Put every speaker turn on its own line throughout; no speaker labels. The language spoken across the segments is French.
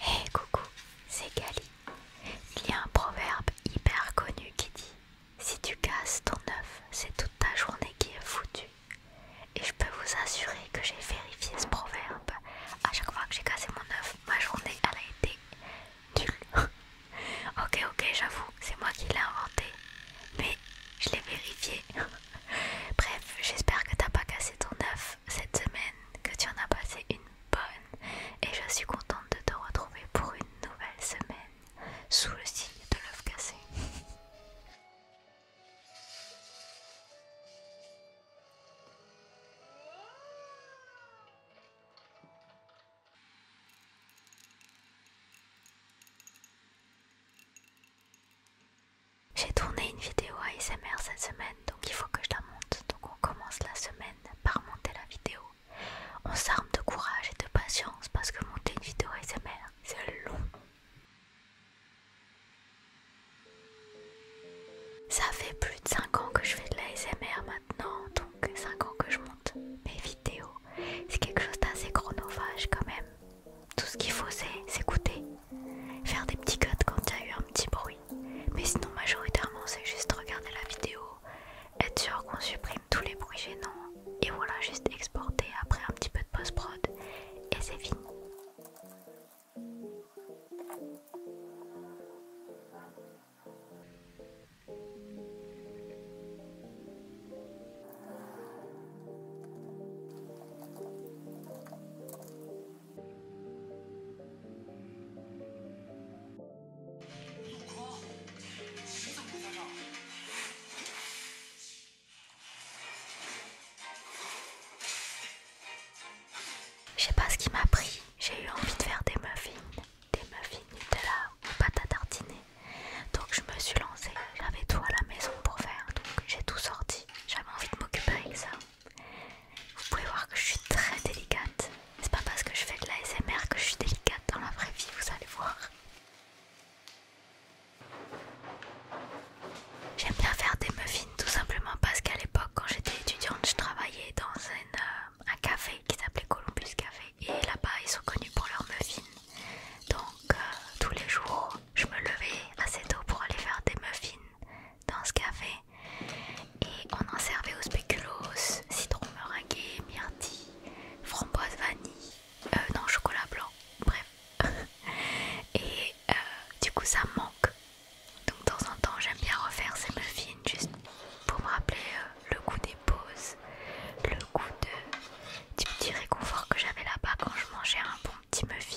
hey, coucou, c'est Gali. Il y a un proverbe hyper connu qui dit Si tu casses ton œuf, c'est toute ta journée qui est foutue. Et je peux vous assurer que j'ai vérifié ce proverbe. À chaque fois que j'ai cassé mon œuf, ma journée elle a été nulle. ok, ok, j'avoue, c'est moi qui l'ai inventé. Mais je l'ai vérifié. Bref, j'espère que t'as pas cassé ton œuf cette semaine, que tu en as passé une bonne et je suis contente de te retrouver pour une nouvelle semaine sous le signe de l'œuf cassé. J'ai tourné une vidéo à ASMR cette semaine donc il faut que je la monte donc on commence la semaine par monter la vidéo. On s'arme de courage et de patience parce que monter une vidéo ASMR, c'est long. Ça fait plus de 5 ans que je fais de l'ASMR maintenant, donc 5 ans que je monte mes vidéos. C'est quelque chose d'assez chronophage quand même. Tout ce qu'il faut c'est s'écouter, faire des petits cuts quand il y a eu un petit bruit, mais sinon, majoritairement, c'est juste regarder la vidéo, être sûr qu'on supprime tous les bruits gênants, et voilà, juste exporter après un petit peu de post-prod, et c'est fini. Je sais pas ce qui m'a pris, j'ai eu envie de faire des muffins, des muffins Nutella ou pâte à tartiner. Donc je me suis lancée, j'avais tout à la maison pour faire, donc j'ai tout sorti. J'avais envie de m'occuper avec ça. Vous pouvez voir que je suis très délicate. C'est pas parce que je fais de l'ASMR que je suis délicate dans la vraie vie, vous allez voir. J'aime bien faire des muffins tout simplement parce qu'à l'époque quand j'étais étudiante je travaillais dans un euh, café qui s'appelait Columbus Café et là-bas ils sont connus pour leurs muffins donc euh, tous les jours je me levais assez tôt pour aller faire des muffins dans ce café et on en servait au spéculoos, citron meringué, myrtille, framboise vanille, euh, non chocolat blanc, bref. Et euh, du coup ça manque. Donc de temps en temps j'aime bien refaire ces muffins juste pour me rappeler euh, le goût des pauses, le goût de, du petit réconfort que j'avais là-bas quand je mangeais un bon petit muffin.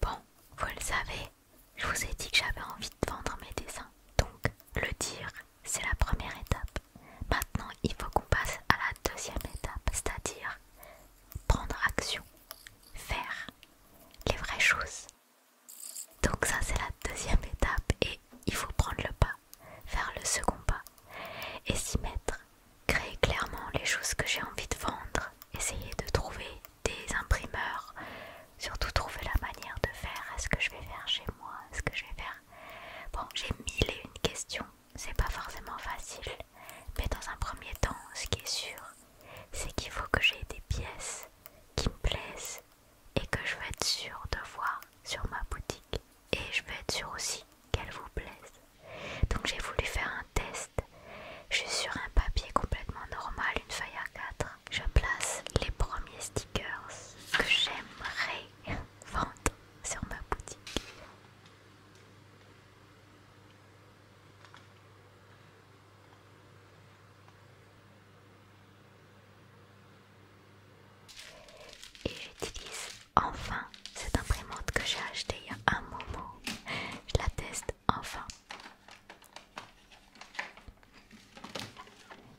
Bon, vous le savez, je vous ai dit que j'avais envie de vendre mes dessins. Donc, le dire, c'est la première étape. Maintenant, il faut qu'on passe à la deuxième étape, c'est-à-dire prendre action, faire les vraies choses. Donc ça c'est la deuxième étape et il faut prendre le pas Faire le second pas et s'y mettre. Créer clairement les choses que j'ai envie de vendre, essayer de trouver des imprimeurs, surtout trouver la manière de faire. Est-ce que je vais faire chez moi Est-ce que je vais faire... Bon, j'ai mille et une questions, c'est pas forcément facile, mais dans un premier temps, ce qui est sûr, c'est qu'il faut que j'ai des pièces qui me plaisent, et que je vais être sûre de voir sur ma boutique et je vais être sûre aussi qu'elle vous plaise. Donc j'ai voulu faire un test. Je suis sur un papier complètement normal, une feuille A4. Je place les premiers stickers que j'aimerais vendre sur ma boutique. Et j'utilise enfin cette imprimante que j'ai achetée il y a un moment. Je la teste enfin.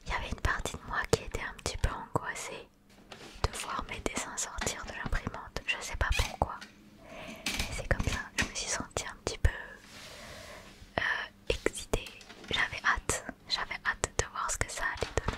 Il y avait une partie de moi qui était un petit peu angoissée de voir mes dessins sortir de l'imprimante. Je sais pas pourquoi. Mais c'est comme ça. Je me suis sentie un petit peu euh, Excité, j'avais hâte, j'avais hâte de voir ce que ça allait donner.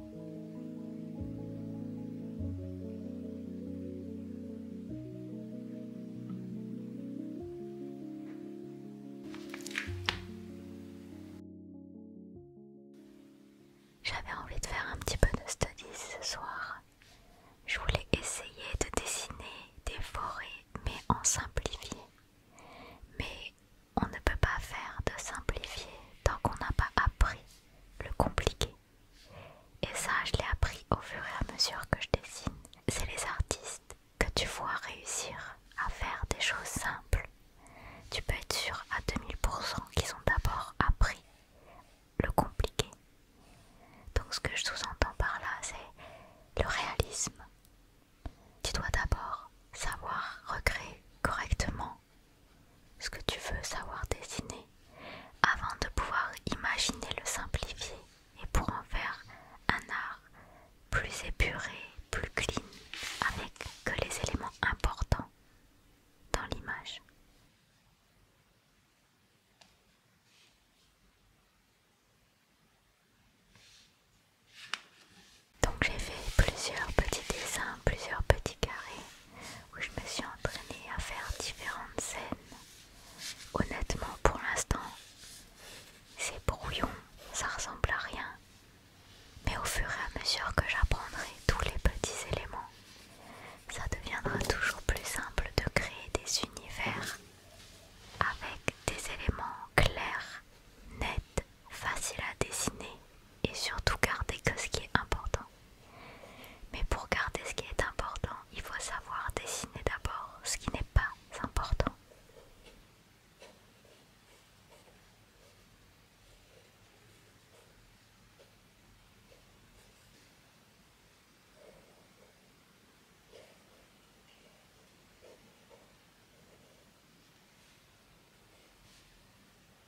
J'avais envie de faire un petit peu de study ce soir. Je voulais essayer de dessiner des forêts, mais en simplifié. Mais on ne peut pas faire de simplifié tant qu'on n'a pas appris le compliqué. Et ça, je l'ai appris au fur et à mesure que je dessine. C'est les artistes que tu vois réussir à faire des choses simples. Tu peux être sûr à 2000% qu'ils ont d'abord appris le compliqué. Donc ce que je sous-entends par là, c'est le réalisme. Tu dois d'abord savoir recréer correctement ce que tu veux savoir dessiner avant de pouvoir imaginer le simplifier et pour en faire un art plus épuré, plus clean, avec que les éléments importants dans l'image. Donc j'ai fait plusieurs petits dessins, plusieurs petits carrés où je me suis entraînée à faire différentes scènes. Honnêtement, pour l'instant, c'est brouillon, ça ressemble à rien. Mais au fur et à mesure que j'apprendrai tous les petits éléments, ça deviendra toujours plus simple de créer des univers avec des éléments clairs, nets, faciles à dessiner et surtout garder que ce qui est important. Mais pour garder ce qui est important, il faut savoir dessiner d'abord ce qui n'est pas important.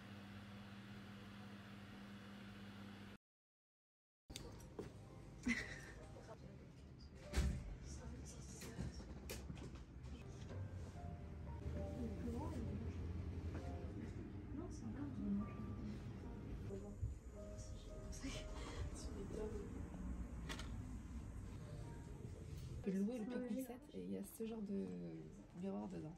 Non, c'est Le loup est et il y a ce genre de miroir dedans.